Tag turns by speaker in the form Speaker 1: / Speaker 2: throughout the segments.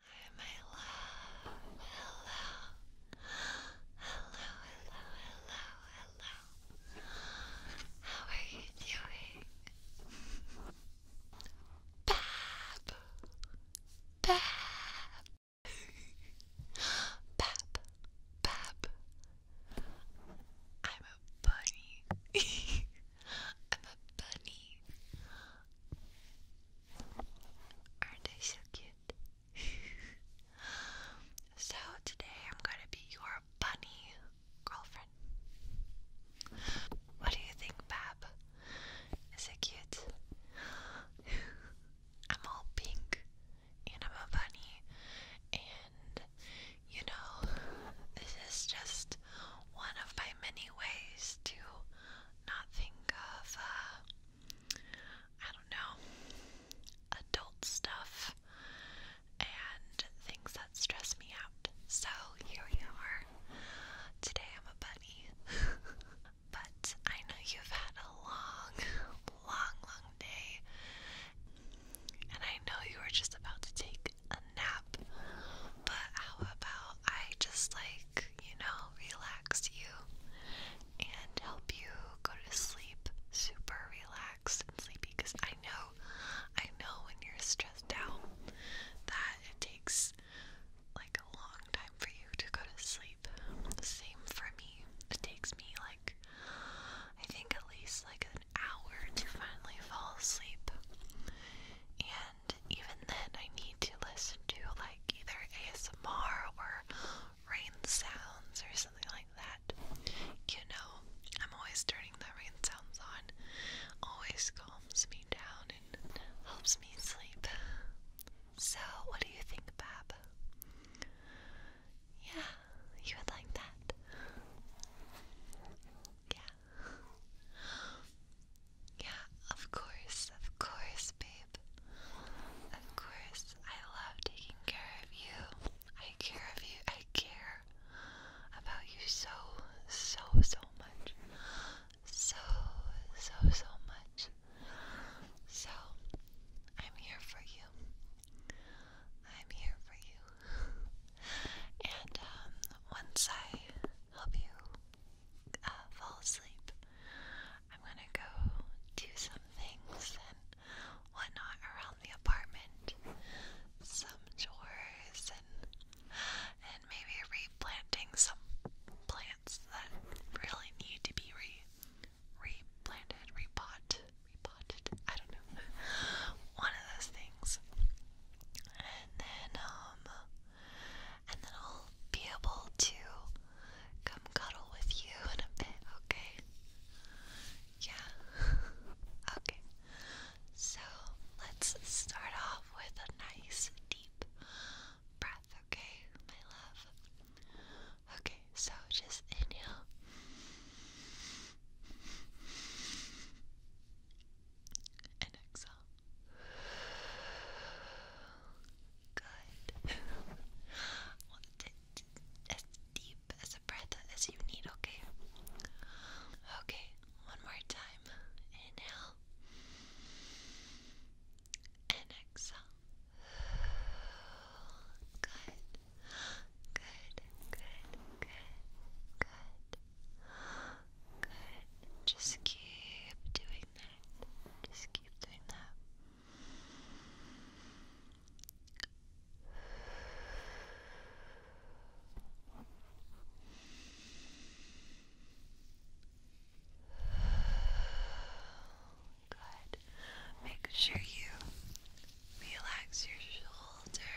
Speaker 1: Hi, my love. Hello. Hello, hello, hello, hello. How are you doing? Bab. Bab. Bab. Bab. I'm a bunny. I'm a bunny. Aren't they so cute? so today I'm gonna be your bunny girlfriend. What do you think, Bab? Is it cute? I'm all pink and I'm a bunny and you know, this is just one of my many ways to not think of, uh, I don't know, adult stuff and things that stress me out. So here we are. Today I'm a bunny. but I know you've had a long, long, long day. And I know you were just about to take a nap. But how about I just like, you know, relax you and help you go to sleep super relaxed and sleepy because I know, I know when you're stressed out that it takes like a long time for you to go to sleep. Same for me. It takes me like I think at least like a an hour to finally fall asleep. And even then, I need to listen to like either ASMR or rain sounds or something like that. You know, I'm always turning the rain sounds on, always calms me down and helps me sleep. So, what do you think, Bab? Yeah, you would like that. Yeah, yeah, of course, of course, babe. Of course, I love taking care of you. I care of you. I care about you so, so, so much. So, so, so much. So, I'm here for you. I'm here for you. And um, once I help you uh, fall asleep, I'm gonna go do some things and whatnot around the apartment, some chores, and and maybe replanting some plants that really need to be replanted, repot, repotted. I don't know. One of those things and then um, and then I'll be able to come cuddle with you in a bit, okay? Yeah. okay. So let's start off with a nice deep breath, okay, my love? Okay, so just inhale and exhale. Good. Want to as deep as a breath as you need, okay? Okay, one more time. Inhale and exhale. Good. Good, good, good, good. Good. Just keep doing that. Just keep doing that. Good. Make sure you relax your shoulders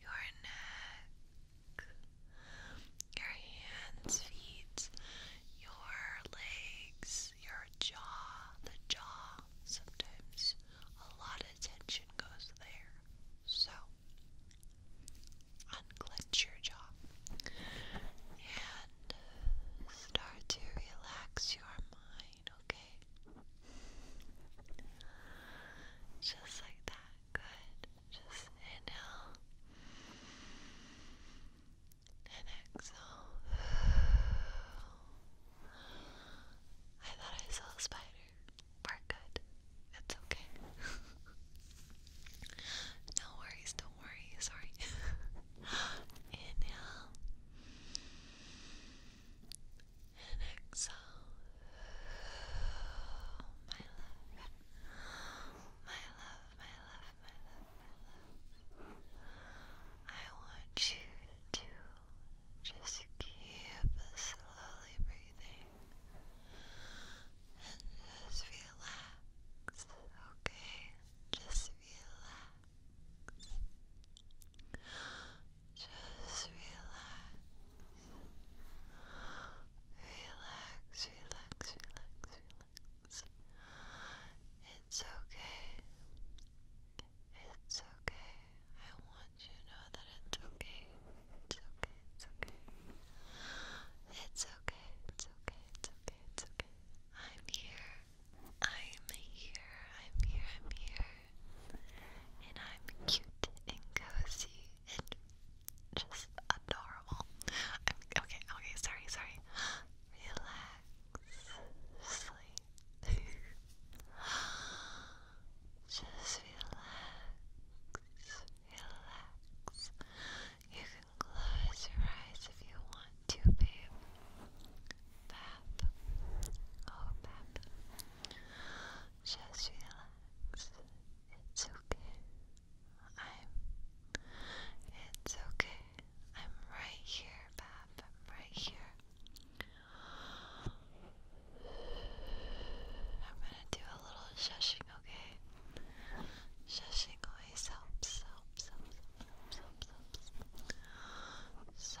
Speaker 1: your neck, your hands, feet, your legs, your jaw, the jaw. Sometimes a lot of tension goes there. So, unclench your jaw and start to relax your mind okay? Just like that, good. Just inhale and exhale. I thought I saw a spider. We're good. It's okay. no worries, don't worry, sorry. inhale and exhale. my love, my love, my love, my love. I want you to just keep slowly breathing and just relax, okay? Just relax. Just relax. Relax, relax, relax, relax. It's okay. It's okay. I want you to know that it's okay. It's okay, it's okay. It's okay, it's okay, it's okay, it's okay. I'm here. I'm here. I'm here. I'm here and I'm cute and cozy and just adorable. okay, okay, sorry, sorry. Relax, sleep. just relax, relax. You can close your eyes if you want to, babe. Pap, oh, pap. Just relax. It's okay. I'm. It's okay. I'm right here, Bab. I'm right here. I'm gonna do a little shushing, okay? Shushing always helps, helps, helps, helps, helps, helps. So,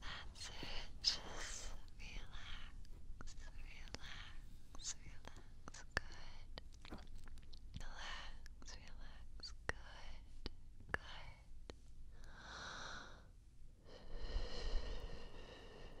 Speaker 1: That's it. Just relax, relax, relax. Good. Relax, relax. Good, good.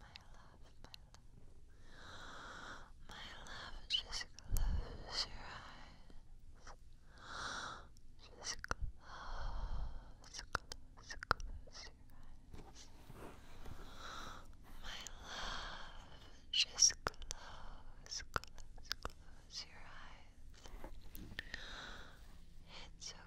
Speaker 1: my love, my love. My love, just close your eyes. Just close, close, close your eyes. My love, just close, close, close your eyes. It's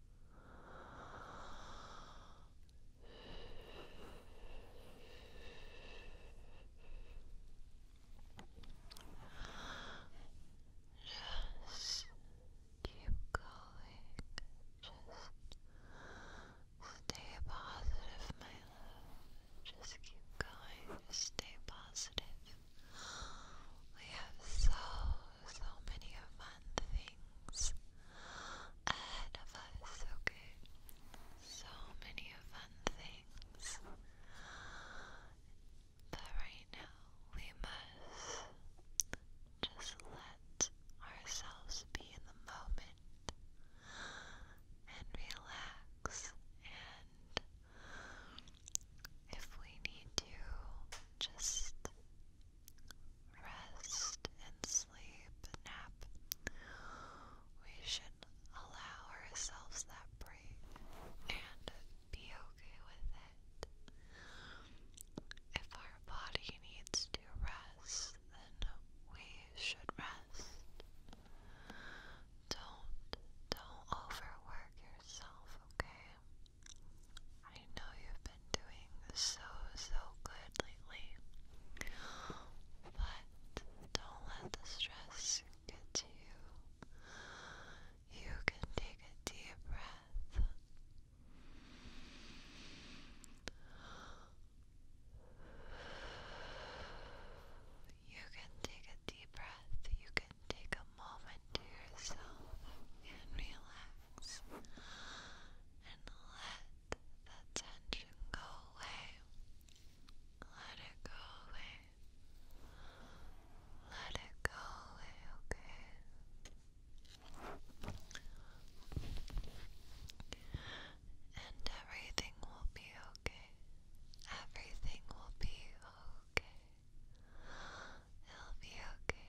Speaker 1: Just keep going. Just stay positive, my love. Just keep going. Just stay positive. We have so, so many fun things ahead of us, okay? So many fun things. But right now, we must just let ourselves be in the moment and relax and if we need to just rest and sleep nap, we should allow ourselves that break and be okay with it. If our body needs to rest, then we should rest. Don't don't overwork yourself, okay? I know you've been doing so, so good lately, but don't let the stress get to you. You can take a deep breath. You can take a deep breath. You can take a moment into yourself and relax and let that tension go away. Let it go away. Let it go away, okay? And everything will be okay. Everything will be okay. It'll be okay.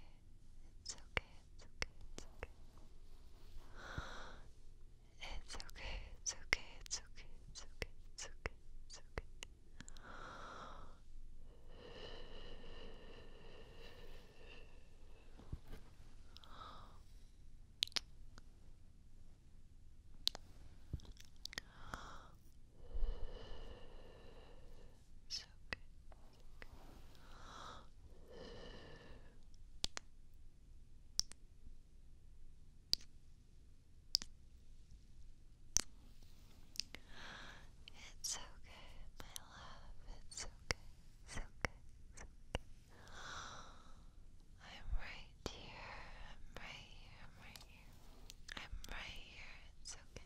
Speaker 1: It's okay. It's okay. It's okay. It's okay. It's okay. It's okay. It's okay. It's okay. It's okay. It's okay. It's so my love. It's so good, so good, so I'm right here. I'm right here. I'm right here. I'm right here. It's okay.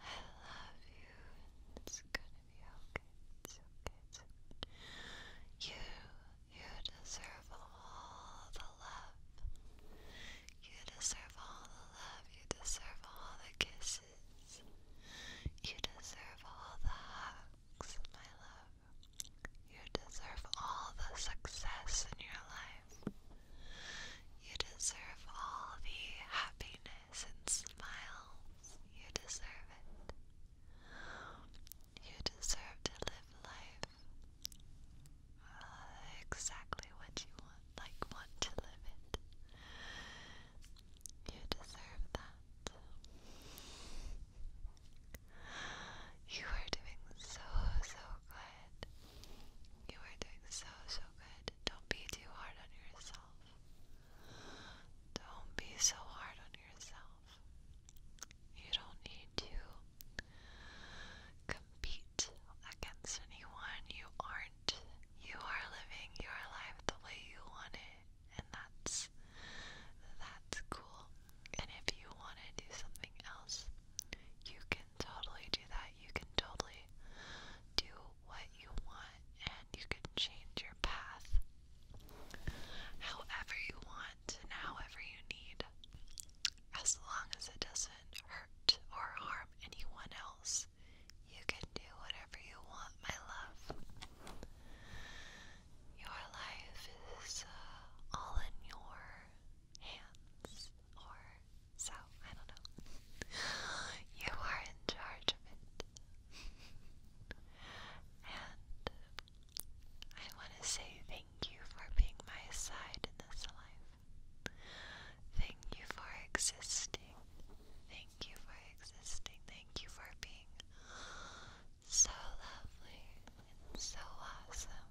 Speaker 1: I love you. It's gonna be okay. It's okay. You, you deserve all the love. You deserve all the love. You deserve all the kisses. You deserve all the hugs, my love. You deserve all the success in your life. You deserve all the happiness and smiles. You deserve it. You deserve to live life uh, exactly what you want, like want to live it. You deserve that. You are doing so, so good. You are doing so, so don't be too hard on yourself. Don't be so hard on yourself. You don't need to compete against anyone. You aren't. You are living your life the way you want it, and that's that's cool. And if you want to do something else, you can totally do that. You can totally do what you want and you can change your path however you want and however you need, as long as it doesn't hurt or harm anyone else. You can do whatever you want, my love. Your life is uh, all in your hands or so, I don't know. you are in charge of it. and I want to say thank you for being my side in this life. Thank you for existing. Thank you for existing. Thank you for being so lovely and so awesome.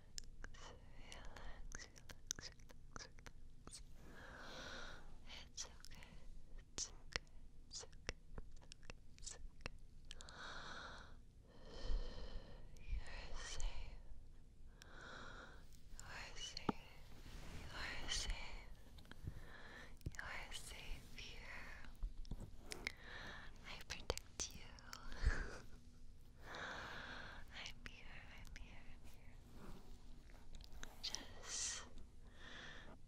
Speaker 1: relax, it's okay, it's okay, it's okay. You're safe. You're safe. You're safe. You're safe here. I protect you. I'm here, I'm here, Just,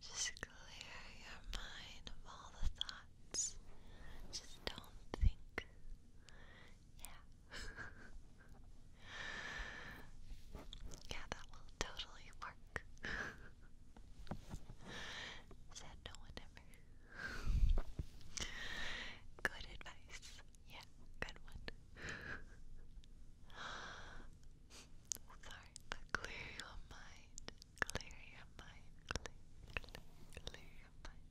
Speaker 1: just clear your mind of all the thoughts. Just don't think. Yeah. yeah, that will totally work. Said no one ever. Good advice. Yeah, good one. Sorry, but clear your mind. Clear your mind. Clear, clear, clear your mind.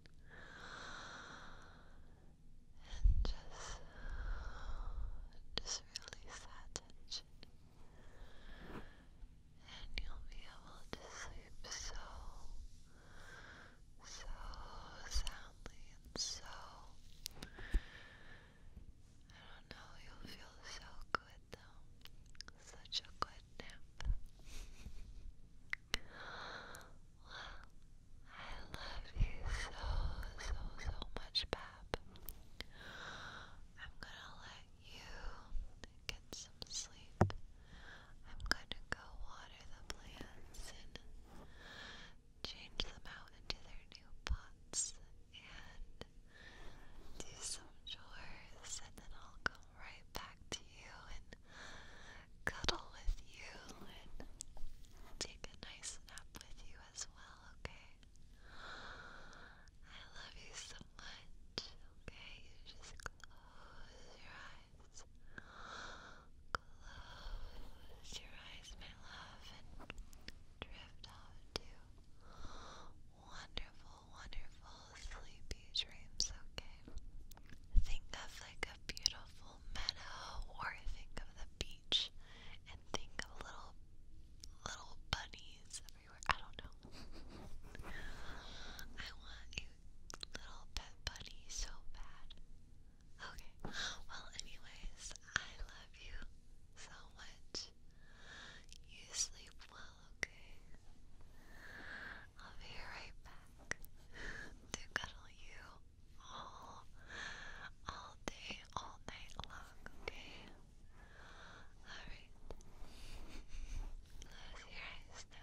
Speaker 1: And just, just release that tension. And you'll be able to sleep so so soundly and so I don't know, you'll feel so good though. Such a good nap. I love you so, so, so much, Pap. I'm gonna let you get some sleep. I'm gonna go water the plants and change them out into their new pots and do some chores, and then I'll come right back to you and cuddle with you and take a nice nap with you as well, okay? I love you so much, okay? You just close your eyes. Close your eyes, my love, and drift off to wonderful, wonderful sleepy dreams, okay? Think of like a beautiful meadow or think of the beach and think of little little bunnies everywhere. I don't know. I want little pet bunny so bad. Okay, well, anyways, I love you so much. You sleep well, okay? I'll be right back to cuddle you all, all day, all night long, okay? Alright. Close your eyes